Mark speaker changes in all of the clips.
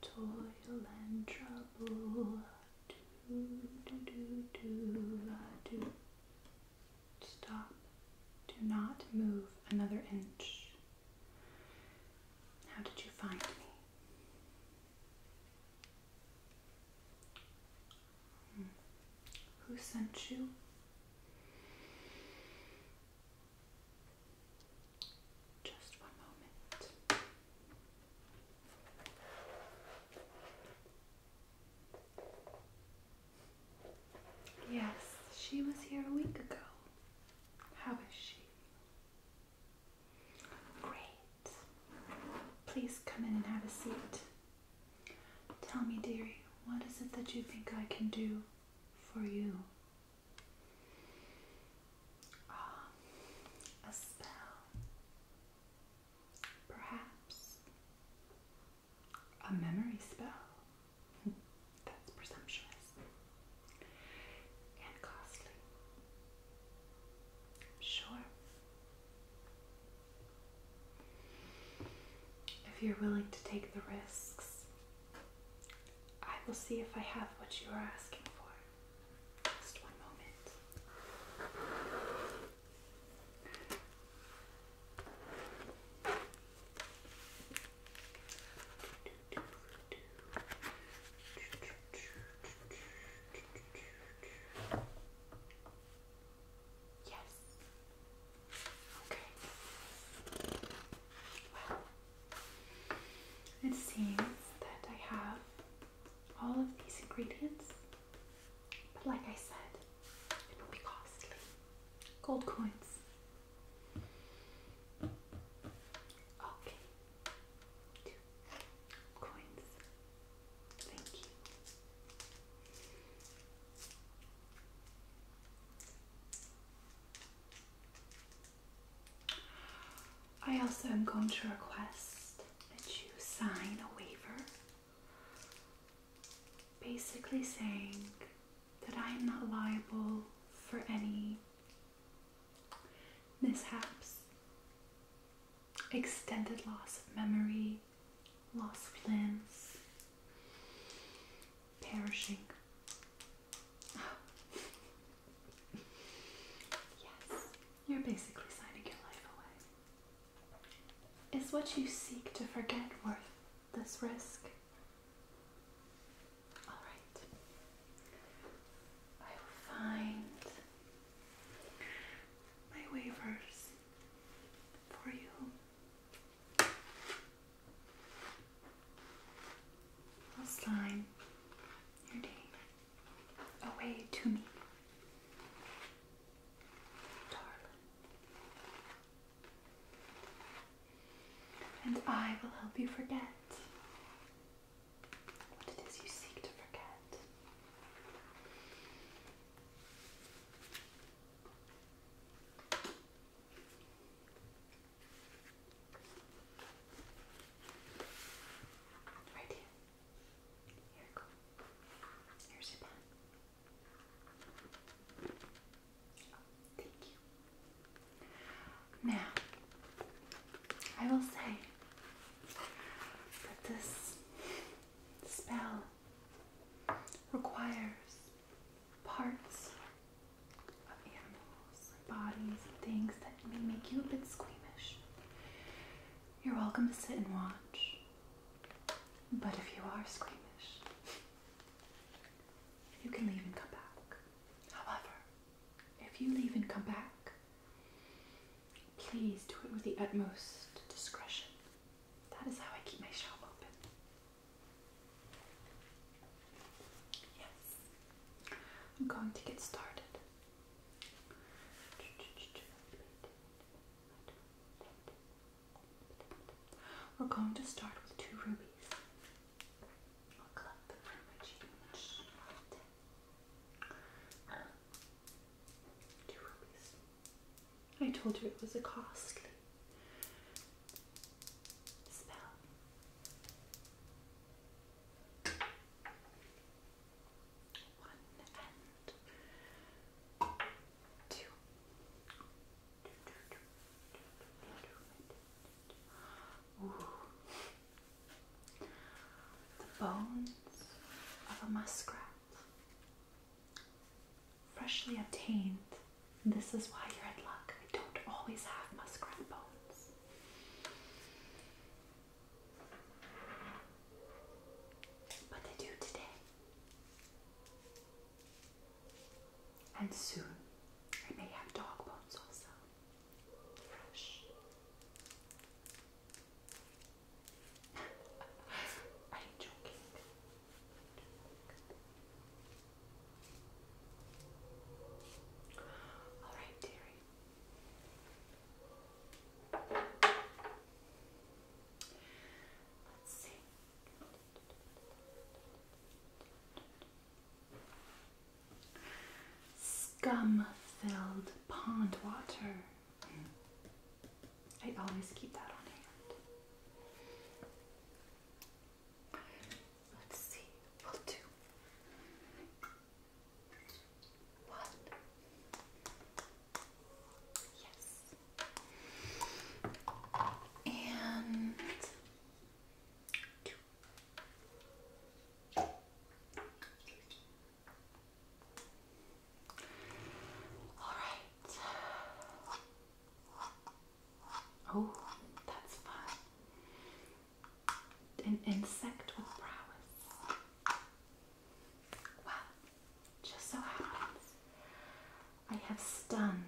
Speaker 1: Toil and trouble, do do do do do. Stop. Do not move another inch. How did you find me? Hmm. Who sent you? Yes, she was here a week ago. How is she? Great. Please come in and have a seat. Tell me, dearie, what is it that you think I can do for you Ah, a spell, perhaps a memory spell. That's presumptuous and costly. Sure. If you're willing to take the risks I will see if I have what you are asking for. Just one moment. Yes. Okay. Well, it seems that I have all of these ingredients, but like I said, it will be costly. Gold coins. Okay. Two coins. Thank you. I also am going to request that you sign a waiver basically saying that I am not liable for any mishaps, extended loss of memory, loss of limbs, perishing, yes, you're basically signing your life away. Is what you seek to forget worth this risk? Alright. I will find my waivers for you. Last your day away to me, darling, and I will help you forget what it is you seek to forget. Right here. Here we go. Here's your oh, thank you. Now, I will say that this spell requires parts of animals, bodies, and things that may make you a bit squeamish. You're welcome to sit and watch. But if you are squeamish, you can leave and come back. However, if you leave and come back, please do it with the utmost discretion. That is how I keep my shop open. Yes. I'm going to get started. We're going to start with two rubies. i told you it was a costly one and two. The bones of a muskrat freshly obtained. This is why you're in luck. We don't always have muskrat bones. But they do today. And soon I may have dog bones also. Fresh. Are you joking? All right, dearie. Let's see. Scum filled pond water. I always keep that on hand. Let's see, we'll do one. Yes. And two. All right. Oh, that's fun. An insect with prowess. Well, just so happens I have stunned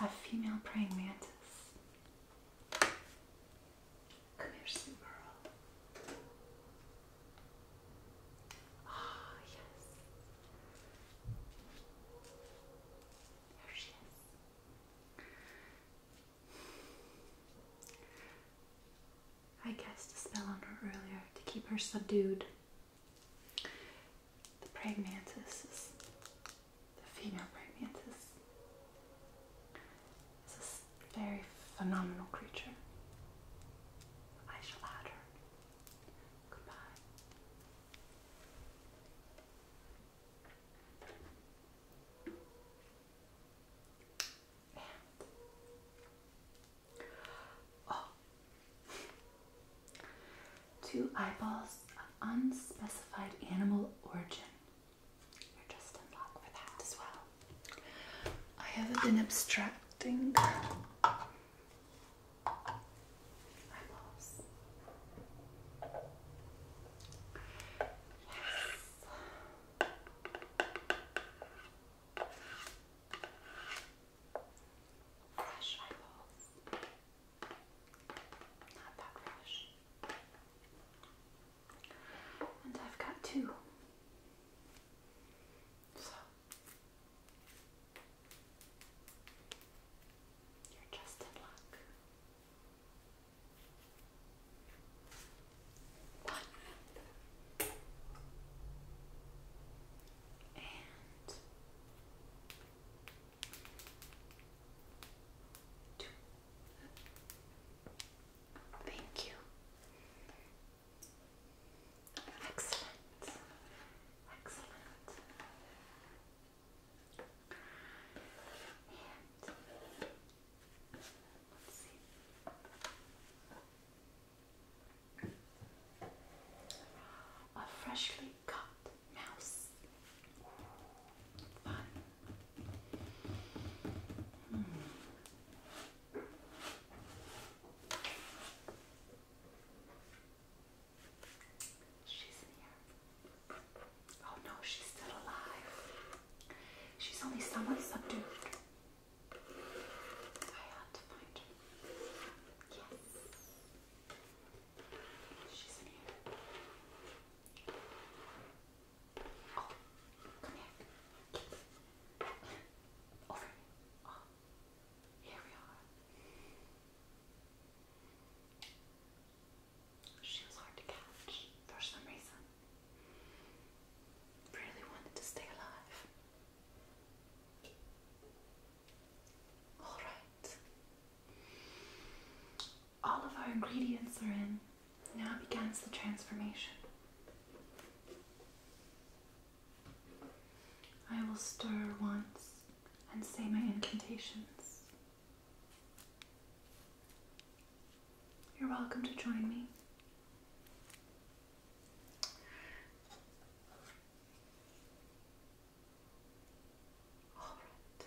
Speaker 1: a female praying mantis. Come here, sweet girl. Ah, yes. There she is. I cast a spell on her earlier to keep her subdued. The praying mantis is the female praying mantis. It's a very phenomenal creature. I shall add her. Goodbye. Oh. Two eyeballs of unspecified animal origin. You're just in luck for that as well. I haven't been abstracting Eyeballs. Yes. Fresh eyeballs. Not that fresh. And I've got two. So you're just in luck. One And two. Thank you. Excellent. Excellent. A freshly cut mouse. Fun. She's in here. Oh no, she's still alive. She's only somewhat subdued. I had to find her. Yes. She's in here. Oh, come here. Over oh. Here we are. She was hard to catch for some reason. Really wanted to stay alive. Alright. All of our ingredients are in. Now begins the transformation. I will stir once and say my incantations. You're welcome to join me. All right.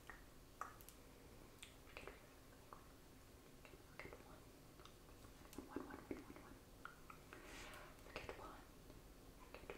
Speaker 1: Forget one. One, one, one, one, one. Forget one. Forget one. Good, good, good.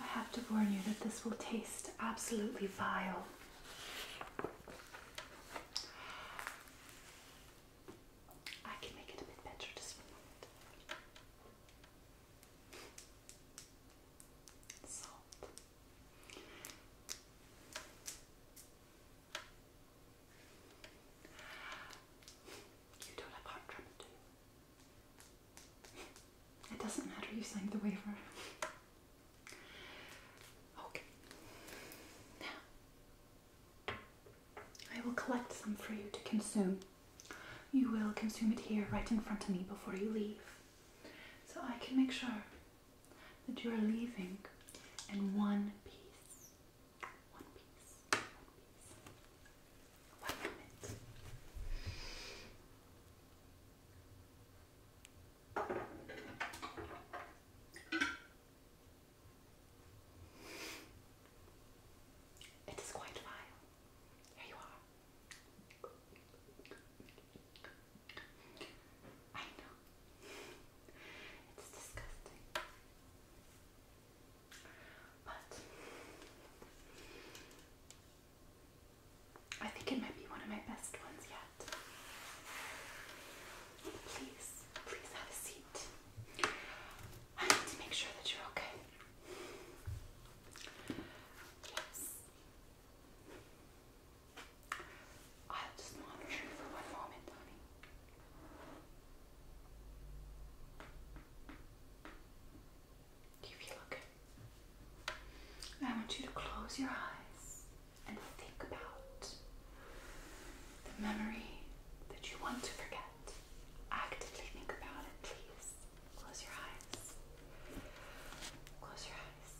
Speaker 1: I have to warn you that this will taste absolutely vile. I can make it a bit better just a moment. Salt. You don't have heart trouble, it doesn't matter, you signed the waiver. Okay. I will collect some for you to consume. You will consume it here, right in front of me, before you leave. So I can make sure that you are leaving in one piece. One piece. One piece. One minute. It is quite vile. Here you are. I know. It's disgusting. But I think it might be one of my best ones yet. Please, please have a seat. I need to make sure that you're okay. Yes. I'll just monitor you for one moment, honey. Do you feel okay? I want you to close your eyes and think about the memory that you want to forget. Actively think about it, please. Close your eyes. Close your eyes.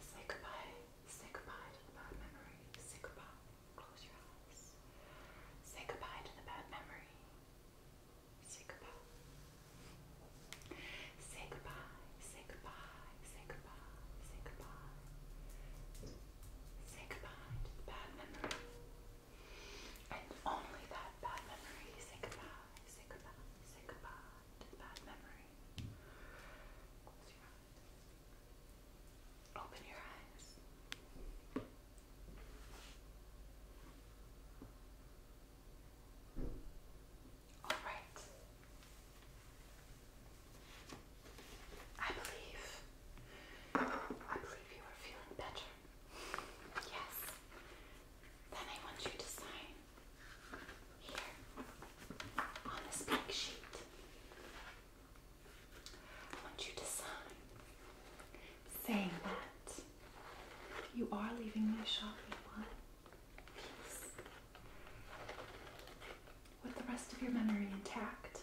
Speaker 1: Say goodbye. Say goodbye to the bad memory. Say goodbye. Close your eyes. Say goodbye to the bad memory. Say goodbye. Say goodbye. Say goodbye. Say goodbye. Say goodbye. Say goodbye to the bad memory. And only that bad memory. Say goodbye. Say goodbye. Say goodbye to the bad memory. Close your eyes. Open your eyes. All right. I believe. I believe you are feeling better. Yes. Then I want you to sign here on this blank sheet. I want you to sign saying that you are leaving my shop in one piece. With the rest of your memory intact.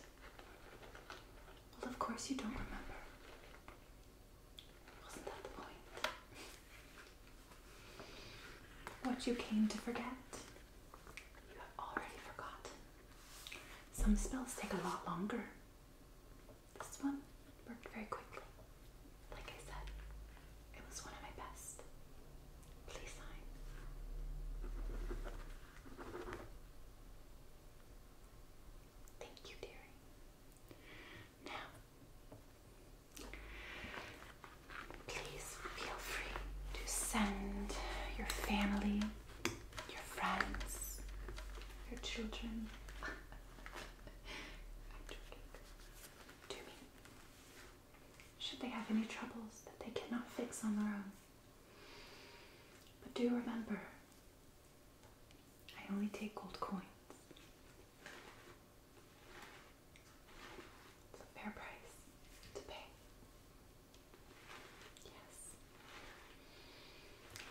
Speaker 1: Well, of course, you don't remember. Wasn't that the point? What you came to forget, you have already forgotten. Some spells take a lot longer. This one worked very quickly. Like I said, it was one of my best. Please sign. Thank you, dearie. Now, please feel free to send your family, your friends, your children, Should they have any troubles that they cannot fix on their own. But do remember, I only take gold coins. It's a fair price to pay. Yes.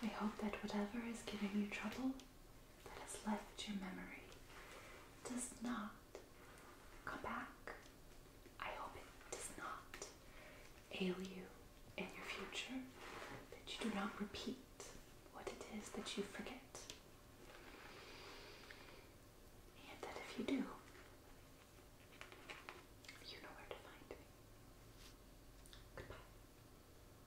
Speaker 1: I hope that whatever is giving you trouble that has left your memory does not come back. I hope it does not ail you in your future, that you do not repeat what it is that you forget. And that if you do, you know where to find me. Goodbye.